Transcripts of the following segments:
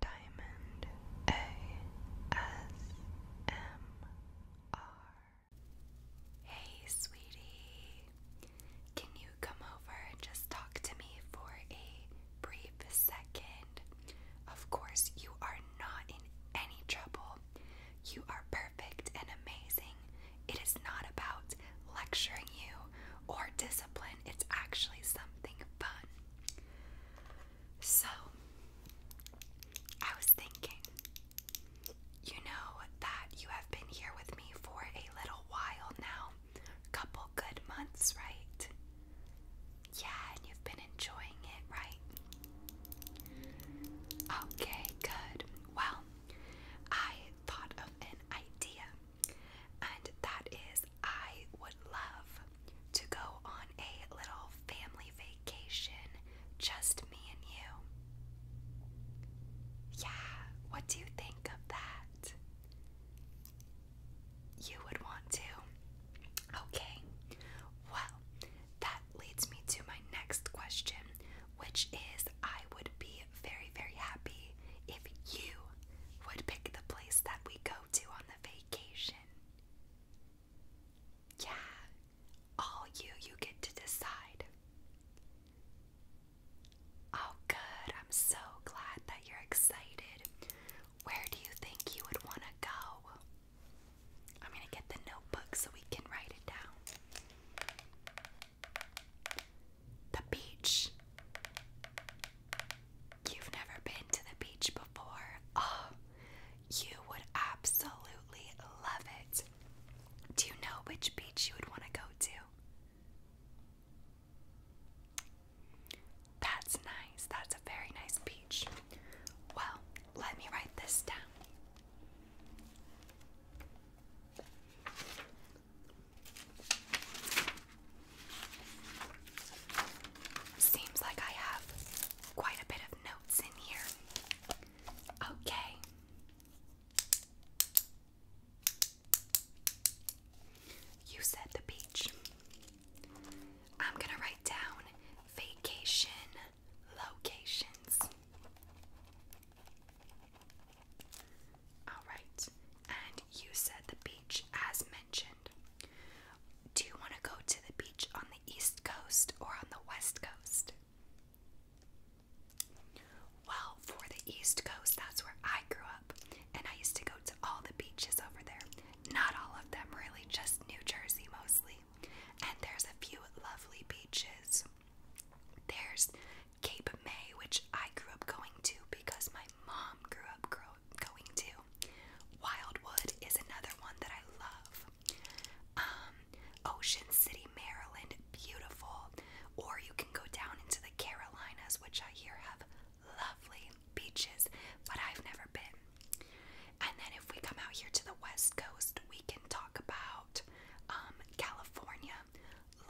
Diamond ASMR. Hey, sweetie. Can you come over and just talk to me for a brief second? Of course, you are not in any trouble. You are perfect and amazing. It is not about lecturing you or discipline, it's actually something fun. So, I was thinking, you know that you have been here with me for a little while now, couple good months, right? Yeah, and you've been enjoying it, right? Okay, good. Well, I thought of an idea, and that is I would love to go on a little family vacation, just me and you. Yeah, what do you think of that? You would want to. Okay, well, that leads me to my next question, which is I would be very, very happy if you would pick the place that we go to on the vacation vacation. Yeah, all you, you get to decide. Oh, good. I'm so glad that you're excited. Where do you think you would want to go? I'm going to get the notebook so we can write it down. The beach you've never been to the beach before, oh, you would absolutely love it. Do you know which beach you would want to go to? That's nice. That's a very nice beach. Well, let me write this down. Seems like I have quite a bit of notes in here. Okay. You said the beach. I'm gonna write down vacation locations. Alright, and you said the beach as mentioned. Do you want to go to the beach on the East Coast or on the West Coast? Well, for the East Coast, that's where I grew up, and I used to go to all the beaches over there. Not all of them, really, just New Jersey mostly. And there's a few lovely beaches. There's Cape May, which I grew up going to because my mom grew up going to. Wildwood is another one that I love. Um, Ocean City, Maryland, beautiful. Or you can go down into the Carolinas, which I hear have lovely beaches, but I've never been. And then if we come out here to the West Coast, we can talk about um, California,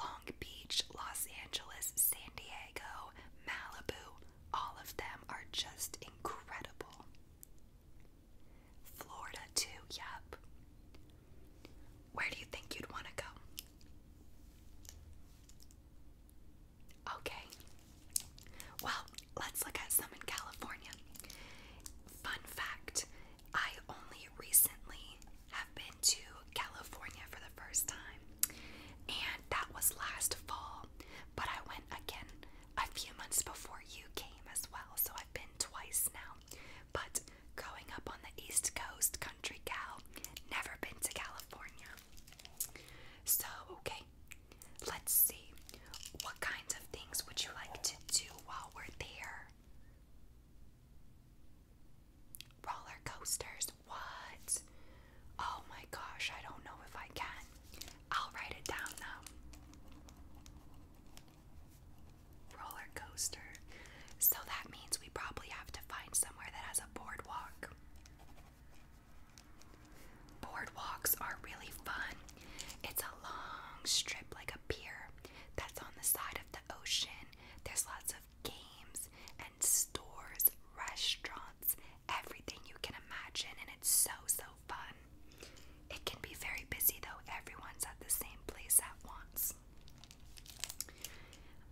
Long Beach, Los Angeles, San Diego, Malibu, all of them are just incredible. Florida, too, yep. Where do you think you'd want to go? Okay. Well, let's look at some in California. Fun fact I only recently have been to California for the first time, and that was last fall but I went again a few months before you came as well, so I've been twice now. But growing up on the East Coast, country gal, never been to California. So, okay, let's see. What kinds of things would you like to do while we're there? Roller coasters, what? Oh my gosh, I don't know if I can. I'll write it down now. Roller coaster. So that means we probably have to find somewhere that has a boardwalk. Boardwalks are really fun. It's a long strip, like a pier, that's on the side of the ocean. There's lots of games and stores, restaurants everything you can imagine, and it's so, so fun. It can be very busy though, everyone's at the same place at once.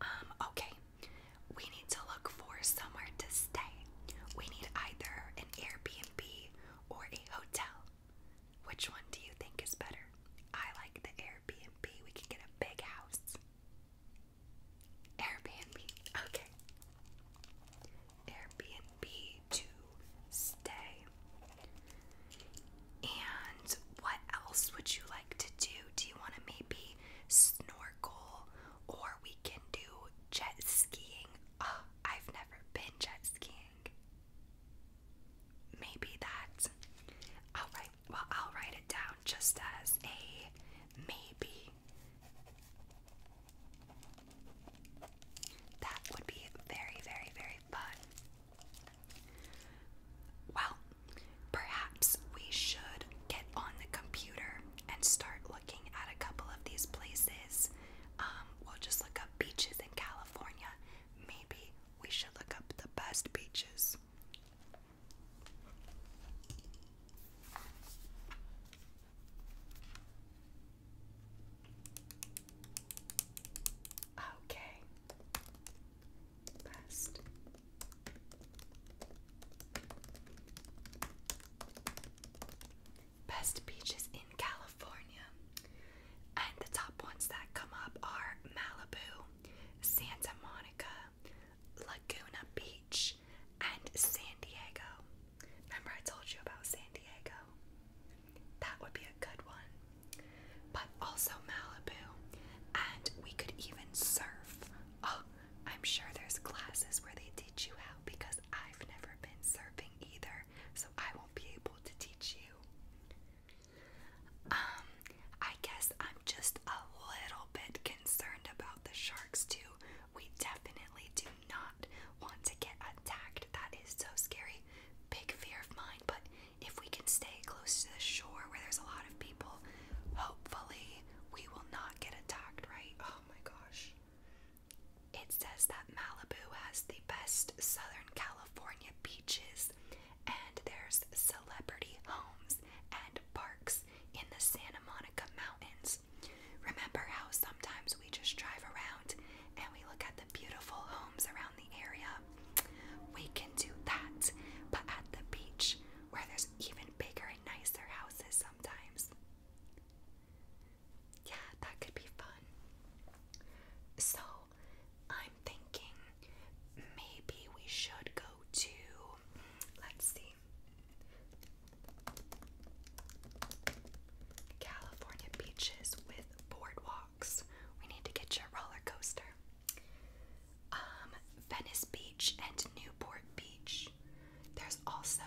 Um, okay, we need to look for somewhere to stay. We need either an Airbnb or a hotel. Which one do you think is better? I like the Airbnb. We can get a big house. Airbnb. Okay. Airbnb to stay. And what else would you like to do? Do you want to maybe snorkel or we can do jet skiing? Oh, I've never been jet skiing. Maybe that. All right. Well, I'll write it down just as a maybe. That would be very, very, very fun. Well, perhaps we should get on the computer and start looking at a couple of these places. Um, we'll just look up beaches in California. Maybe we should look up the best beaches. Okay. Best. Best beaches in California. And the top ones that come up are Malibu, Santa Monica, Laguna Beach, and San Diego. Remember, I told you about San Diego? That would be a good one. But also Malibu. And we could even surf. Oh, I'm sure there's classes where they teach you how because I've never been surfing either, so I won't be able to teach you. Um, I guess I'm just a little bit concerned about the sharks too, we definitely do not want to get attacked. That is so scary. Big fear of mine, but if we can stay close to the shore where there's a lot of people, hopefully we will not get attacked, right? Oh my gosh. It says that Malibu has the best Southern California beaches, and there's celebrity homes and parks in the Santa Monica Mountains. Remember how sometimes we just drive around and we look at the beautiful homes around the area? We can do that, but at the beach where there's even bigger and nicer houses sometimes. Yeah, that could be fun. So, I'm thinking maybe we should go to, let's see, California beaches with boardwalks. We need to get you a roller coaster. Um, Venice Beach and Newport Beach. There's also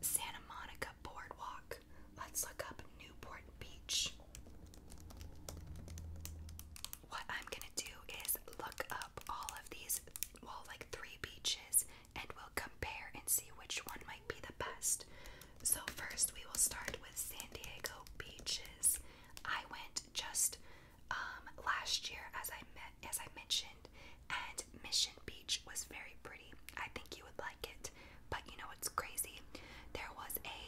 Santa Monica Boardwalk. Let's look up Newport Beach. What I'm gonna do is look up all of these, well, like three beaches and we'll compare and see which one might be the best. So, first, we will start with San Diego beaches. I went just um, last year, as I met, as I mentioned, and Mission Beach was very pretty. I think you would like it, but you know what's crazy? There was a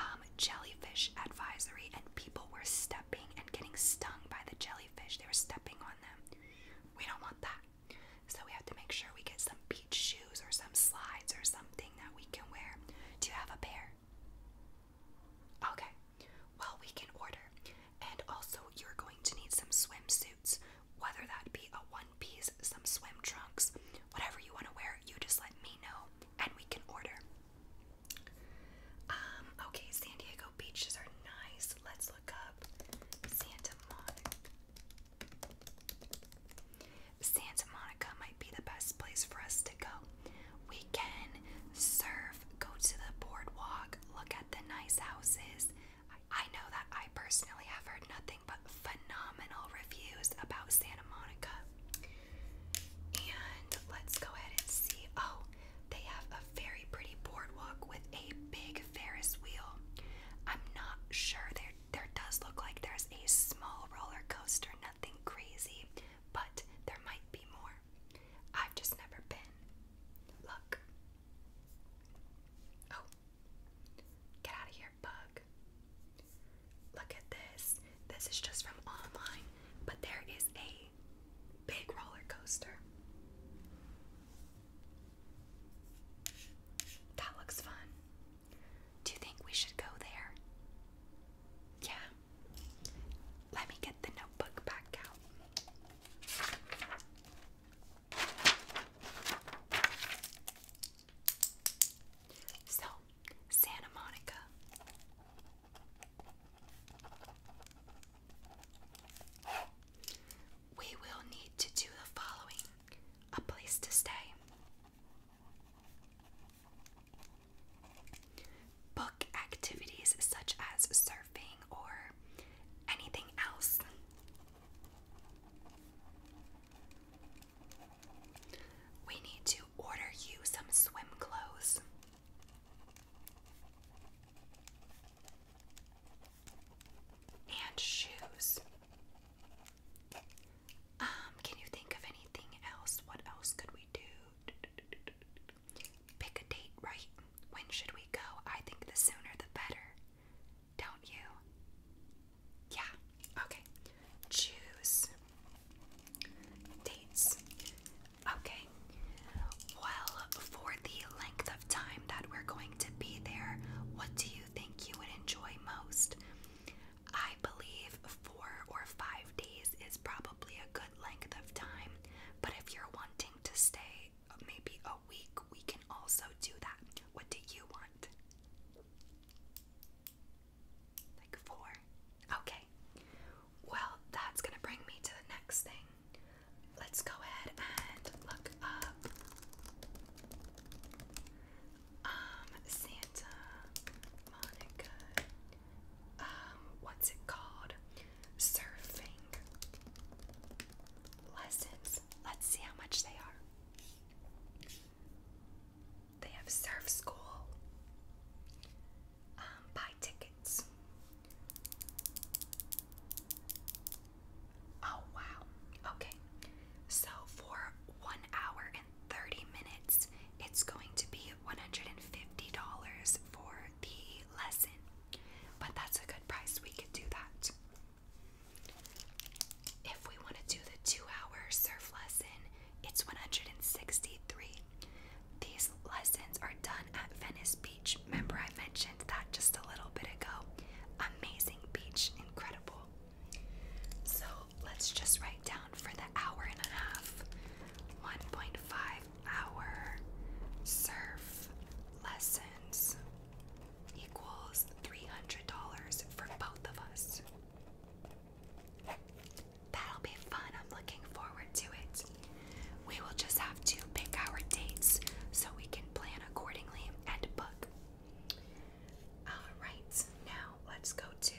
um, jellyfish advisory, and people were stepping and getting stung by the jellyfish. They were stepping on them. We don't want that. So we have to make sure we get some beach shoes or some slides or something that we can wear. Do you have a pair? Okay. Well, we can order. And also, you're going to need some swimsuits, whether that be a one piece, some swim trunks, whatever you want to wear, you just let me know and we can order. Um, okay, San Diego beaches are nice let let's look up Santa Monica. Santa Monica might be the best place for us to go. We can surf, go to the boardwalk, look at the nice houses. I know that I personally have heard nothing but phenomenal reviews about Santa Monica. And let's go ahead and see. Oh, they have a very pretty boardwalk with a big Ferris wheel. I'm not sure there there does look like there's a small roller coaster, nothing crazy, but there might be more. I've just never been. Look. Oh. Get out of here, bug. Look at this. This is just from online, but there is a big roller coaster. That looks fun. Do you think we should go there? Yeah. Let me get the notebook back out. So, Santa Monica we will need to do the following a place to stay, book activities such as surfing or anything else. We need to order you some swim clothes and shoes. Um, can you think of anything else? What else could we do? Pick a date, right? When should we go? I think the sooner the better. Don't you? Yeah. Okay. Choose dates. Okay. Well, for the length time that we're going to be there, what do you think you would enjoy most? I believe four or five days is probably a good length of time, but if you're wanting to stay maybe a week, we can also do that. What do you want? Like four? Okay. Well, that's gonna bring me to the next thing let's go ahead and look up um, Santa Monica. Um, what's it called? Surfing lessons. Let's see how much they are. They have surf school. Um, buy tickets. Oh wow. Okay. So for 1 hour and 30 minutes, it's going to be $150 for the lesson. But that's a good price. We could do that. If we want to do the 2-hour surf lesson, it's 163. These lessons are done at Venice Beach. Remember, I mentioned that just a little bit ago. Amazing beach, incredible. So let's just write down for the hour and a half 1.5 hour surf lessons equals $300 for both of us. That'll be fun. I'm looking forward to it. We will just have to pick our dates so we can plan accordingly and book. Alright, now let's go to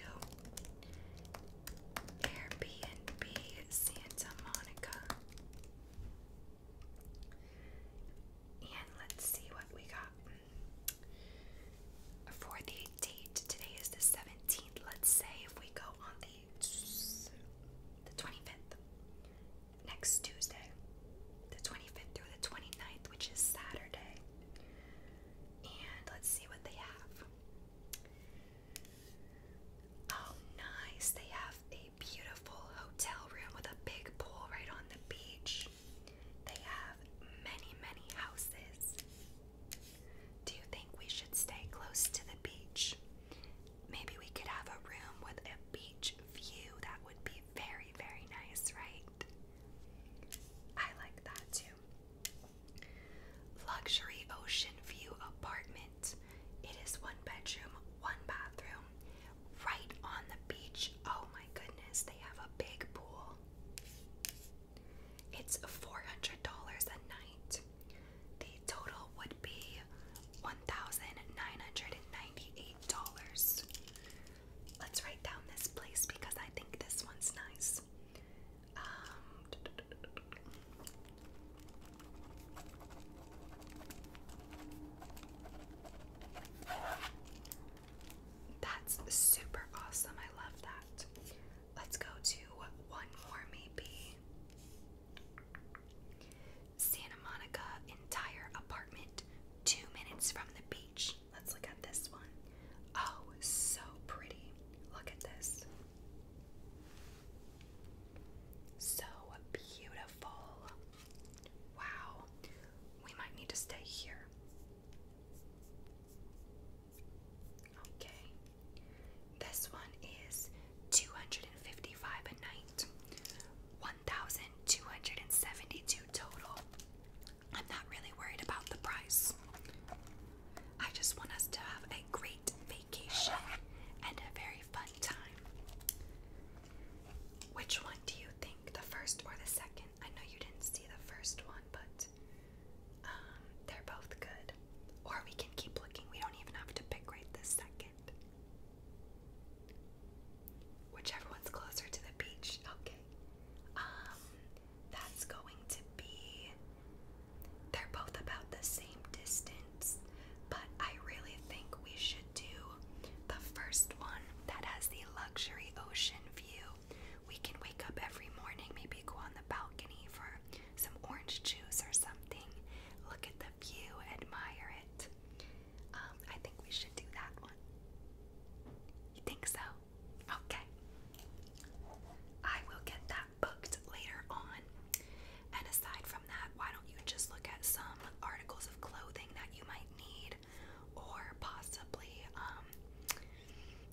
Airbnb Santa Monica. And let's see what we got. For the date, today is the 17th. Let's say if we go on the, the 25th next Tuesday, the 25th through the 29th, which is Saturday. And let's see what they have. Oh, nice. They have a beautiful hotel room with a big pool right on the beach. They have many, many houses. Do you think we should stay close to the beach? Maybe we could have a room with a beach view. That would be very, very nice, right? I like that too. Luxury ocean view apartment. It is one bedroom, one bathroom, right on the beach. Oh my goodness, they have a big pool. It's $400 a night. The total would be $1,998. Let's write down this place because I think this one's nice. Um, that's super awesome. I love that. Let's go to one more, maybe. Santa Monica entire apartment, two minutes from the beach. Let's look at this one. Oh, so pretty. Look at this. So beautiful. Wow. We might need to stay here. Okay. This one is 255 a night. 1000 Two hundred and seventy-two total. I'm not really worried about the price. I just want us to have a great vacation and a very fun time. Which one do you think? The first or the second? I know you didn't see the first one, but um, they're both good. Or we can keep looking. We don't even have to pick right this second. Which Whichever one's closer to the beach. Okay. Um, that's going to be. They're both about the same distance, but I really think we should do the first one that has the luxury ocean view. We can wake up every morning, maybe go on the balcony for some orange juice or something, look at the view, admire it. Um, I think we should do that one. You think so? Okay. I will get that booked later on. And aside from that, why don't you just look at some articles of clothing that you might need or possibly um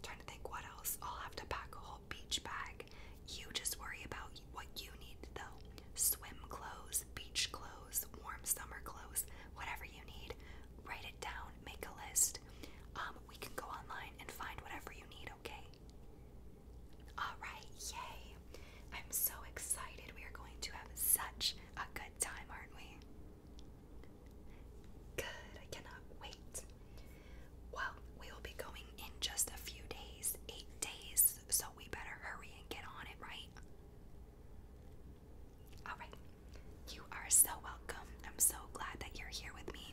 trying to think what else. I'll have to pack a whole beach bag. You just worry about what you need though. Swim clothes, beach clothes warm summer clothes, whatever you need. Write it down, make a list. Um, we can go online and find whatever you need, okay? Alright, yay! I'm so excited. We are going to have such a good time, aren't we? Good, I cannot wait. Well, we will be going in just a few days, eight days, so we better hurry and get on it, right? Alright, you are so welcome. I'm so glad that you're here with me,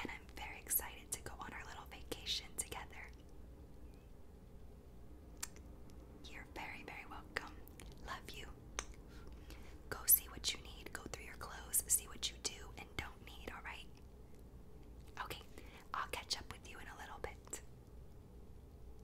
and I'm very excited to go on our little vacation together. You're very, very welcome. Love you. Go see what you need, go through your clothes, see what you do and don't need, alright? Okay, I'll catch up with you in a little bit.